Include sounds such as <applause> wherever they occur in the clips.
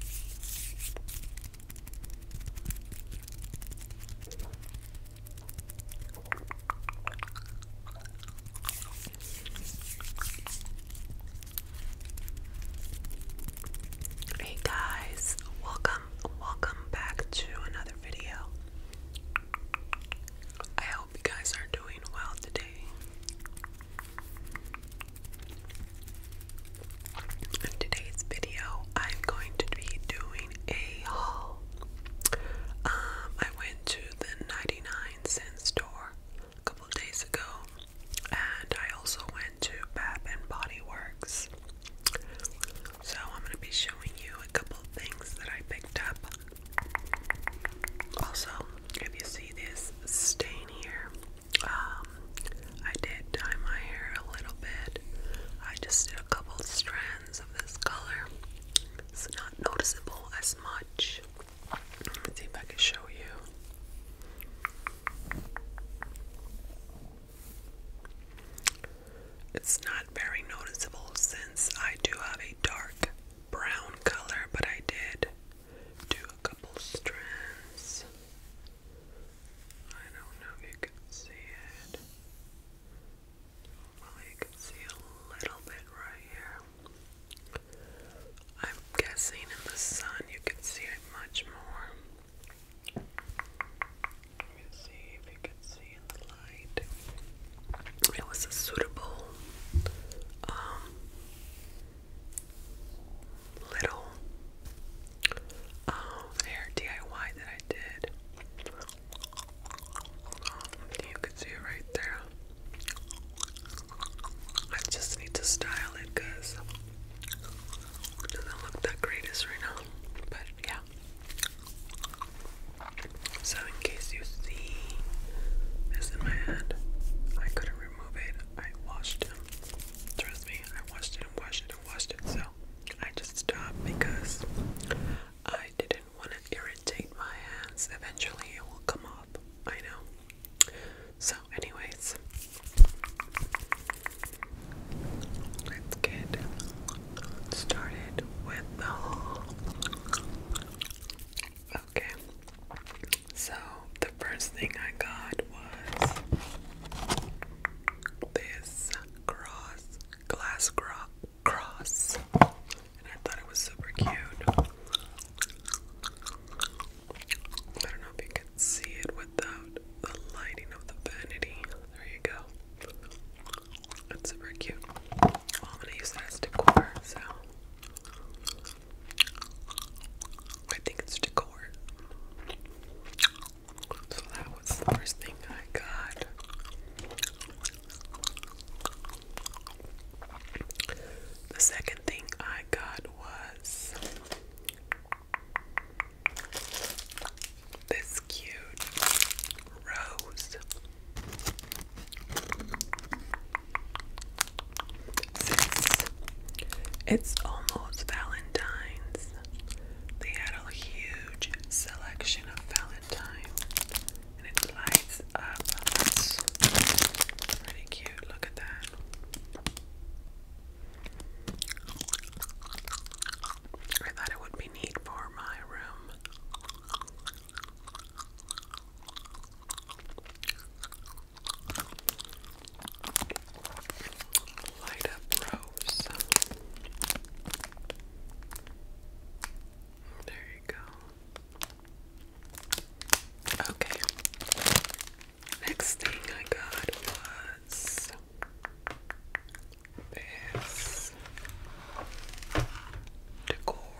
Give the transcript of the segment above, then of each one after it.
Hey guys, welcome, welcome back to another video. I hope you guys are doing well today. In today's video, I'm going to be doing a haul. Um, I went to the 99 cent store a couple days ago, and I also went to Bath and Body Works. So I'm going to be showing you a couple things that I picked up. Also, if you see this stain here, um, I did dye my hair a little bit. I just did a couple strands of this color. It's not noticeable as much. see if I can show you. It's not very noticeable since I do have a dark brown color, but I did do a couple strands. I don't know if you can see it. Well, can see a little bit right here. I'm guessing in the sun you can see it much more. Let me see if you can see in the light. It was a suitable um, little um, hair DIY that I did. Um, you can see it right there. I just need to style it because it doesn't look that greatest right now. But yeah. So in case you see this in my hand, I couldn't remove it. I washed them trust me, I watched it and watched it and watched it, so I just stopped because I didn't want to irritate my hands. Eventually, it will come off. I know. So, anyways, let's get started with the haul. Okay, so, the first thing I got was this cross, glass cro cross, and I thought it was super cute. I don't know if you can see it without the lighting of the vanity. There you go. It's super cute. I'm gonna use that as decor, so. I think it's decor. So that was the first thing I got. The second thing I got was this cute rose. It's almost Valentine's. They had a huge selection of Valentine and it lights up. pretty cute. Look at that. I thought it would be neat for my room. Light up rose. There you go. Okay. Next thing I got was this decor.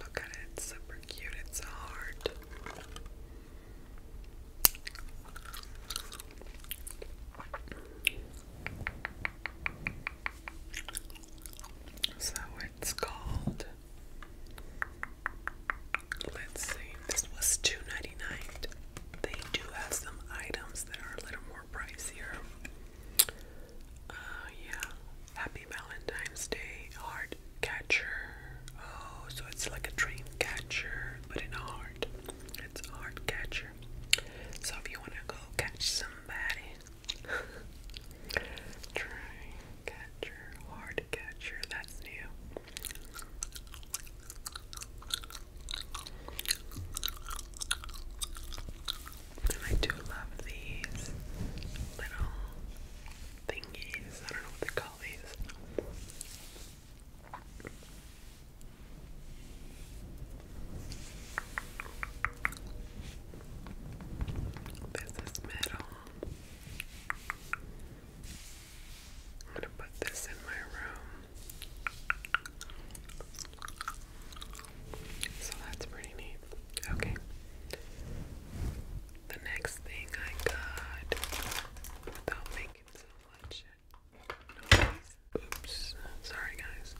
Look at it, it's super cute, it's a heart. So it's called Let's see, this was two ninety nine. They do have some items that are a little more pricier. Uh, yeah. Happy Valentine's Day heart Oh, so it's like a dream but in a heart. It's a So if you want to go catch somebody, <laughs> try catcher, That's new. I do love these little thingies. I don't know what they call these. This is metal. I'm gonna put this in my room. So that's pretty neat. Okay. The next thing I got without making so much noise. Oops. Sorry guys.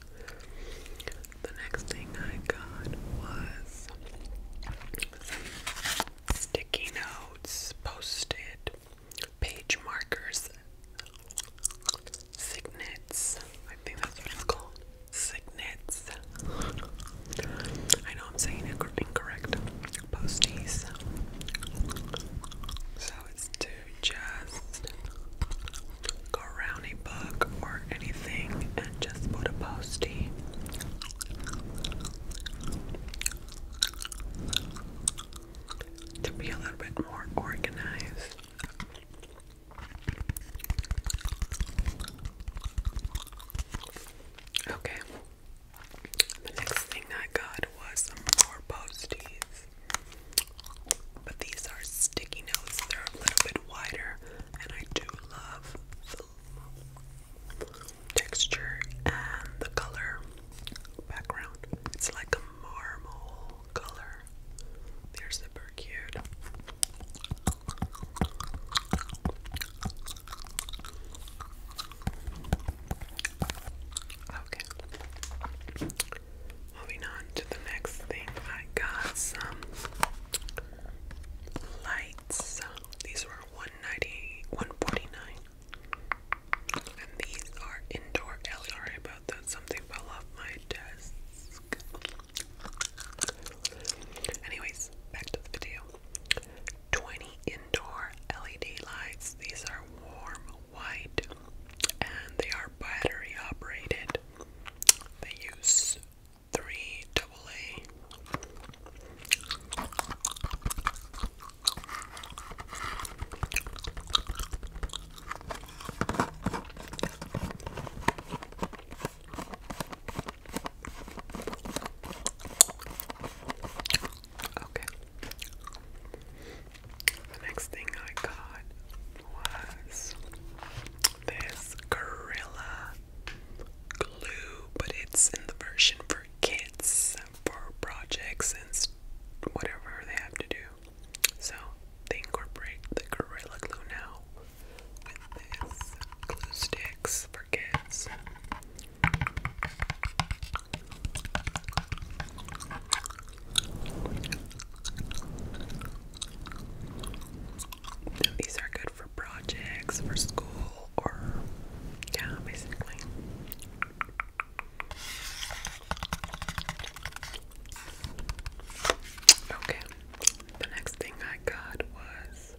The next thing I got was sticky notes, post page markers, signets. I think that's what it's called. Signets. I know I'm saying incorrect. Posties. So it's to just go around a book or anything and just put a postie to be a little bit more organized. Okay. The next thing I got was some more posties. But these are sticky notes. They're a little bit wider and I do love the texture and the color background. It's like a marble color. They're super cute. Okay. Moving on to the next thing, I got some lights. These were 190 and these are indoor L. Sorry about that. Something fell off my desk. Anyways, back to the video. 20 indoor LED lights. These are warm white and they are battery operated. They use three double A. Okay. The next thing I got was this Gorilla glue, but it's in the version for kids for projects and whatever they have to do. So they incorporate the Gorilla Glue now with this glue sticks for kids. these are good for projects, for school, or yeah, basically. Okay, the next thing I got was.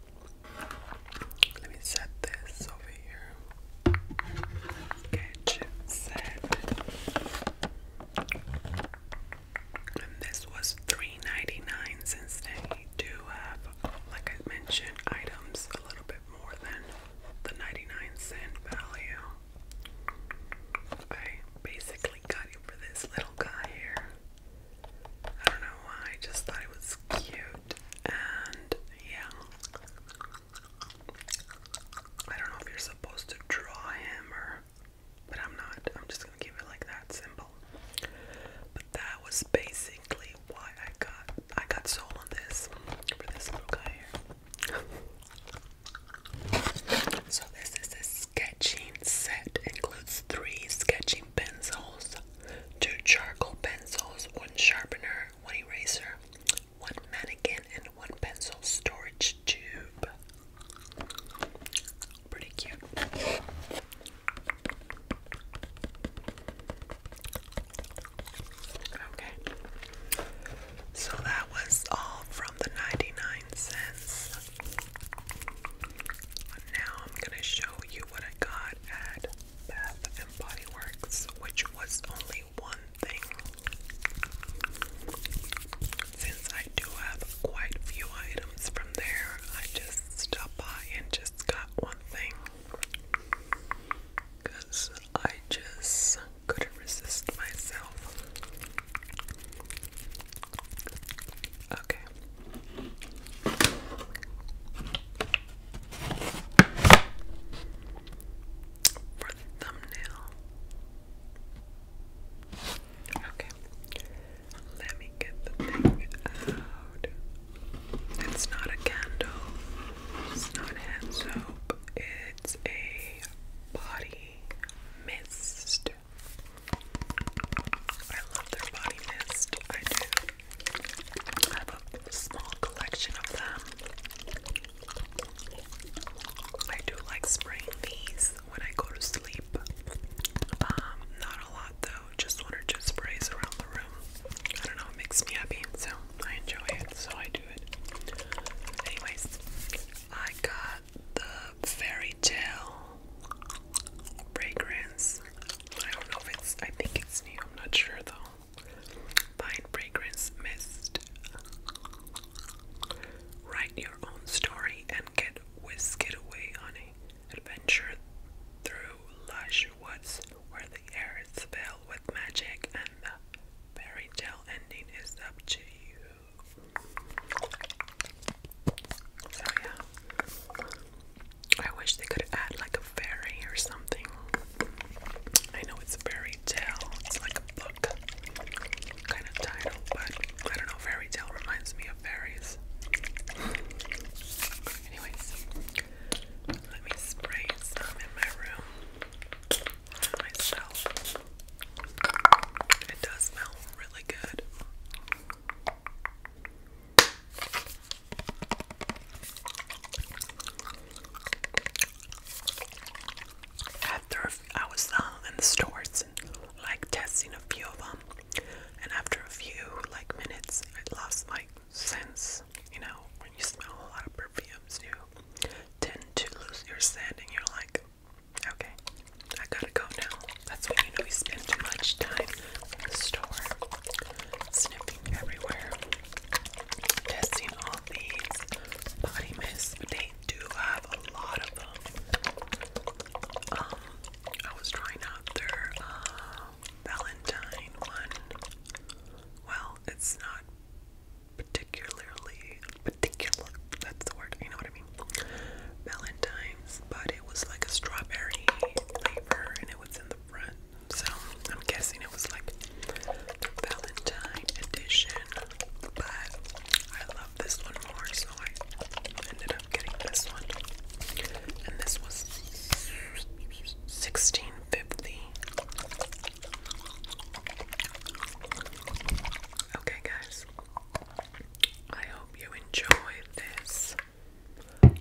Let me set this over here. Sketch set. And this was three ninety nine. since they do have, like I mentioned, items a little bit more than the 99 cent value. I basically got him for this little guy here. I don't know why, I just thought it was cute. And yeah. I don't know if you're supposed to draw him or but I'm not. I'm just gonna keep it like that symbol. But that was basically why I got I got sold on this for this little guy here. So this is a sketching set. Includes three sketching pencils, two charcoal pencils, one sharpener, one eraser, one mannequin, and one pencil storage tube. Pretty cute. Okay. So that was all from the 99 cents. Now I'm going to show you what I got at Bath and Body Works, which was only one thing. Since I do have quite a few items from there, I just stopped by and just got one thing. Because I just couldn't resist myself. Okay. For the thumbnail. Okay. Let me get the thing out. It's not a candle. It's not hand soap it's a body mist. I love their body mist. I do. I have a small collection of them. I do like spraying these when I go to sleep. Um, not a lot though, just one or two sprays around the room. I don't know, it makes me happy, so I enjoy it, so I do. Anyways, I got the fairy tale fragrance. I don't know if it's, I think it's new, I'm not sure though. Pine fragrance mist. Write your own story and get whisked away on an adventure through lush woods where the air is filled with magic and fairy tale ending is up to you. So yeah. I wish they could add like a fairy or something. I know it's a it's like a book kind of title, but I don't know, fairy reminds me of fairies. Anyways, let me spray some in my room my scalp. It does smell really good. After I was uh, in the stores and like testing a few of them, and after a few like minutes, I lost my sense. You know, when you smell a lot of perfumes, you tend to lose your scent, and you're like, okay, I gotta go now. That's when you know you spend too much time in the store, sniffing everywhere, testing all these body mists. They do have a lot of them. Um, I was trying out their uh, Valentine one. Well, it's not particularly particular that's the word, you know what I mean? Valentine's, but it was like a strawberry flavor and it was in the front. So I'm guessing it was like Valentine edition. But I love this one more, so I ended up getting this one. And this was 1650 Okay, guys, I hope you enjoyed this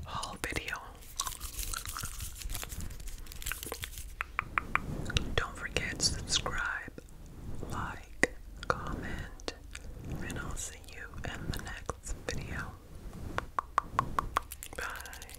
whole video. Don't forget to subscribe, like, comment, and I'll see you in the next video. Bye.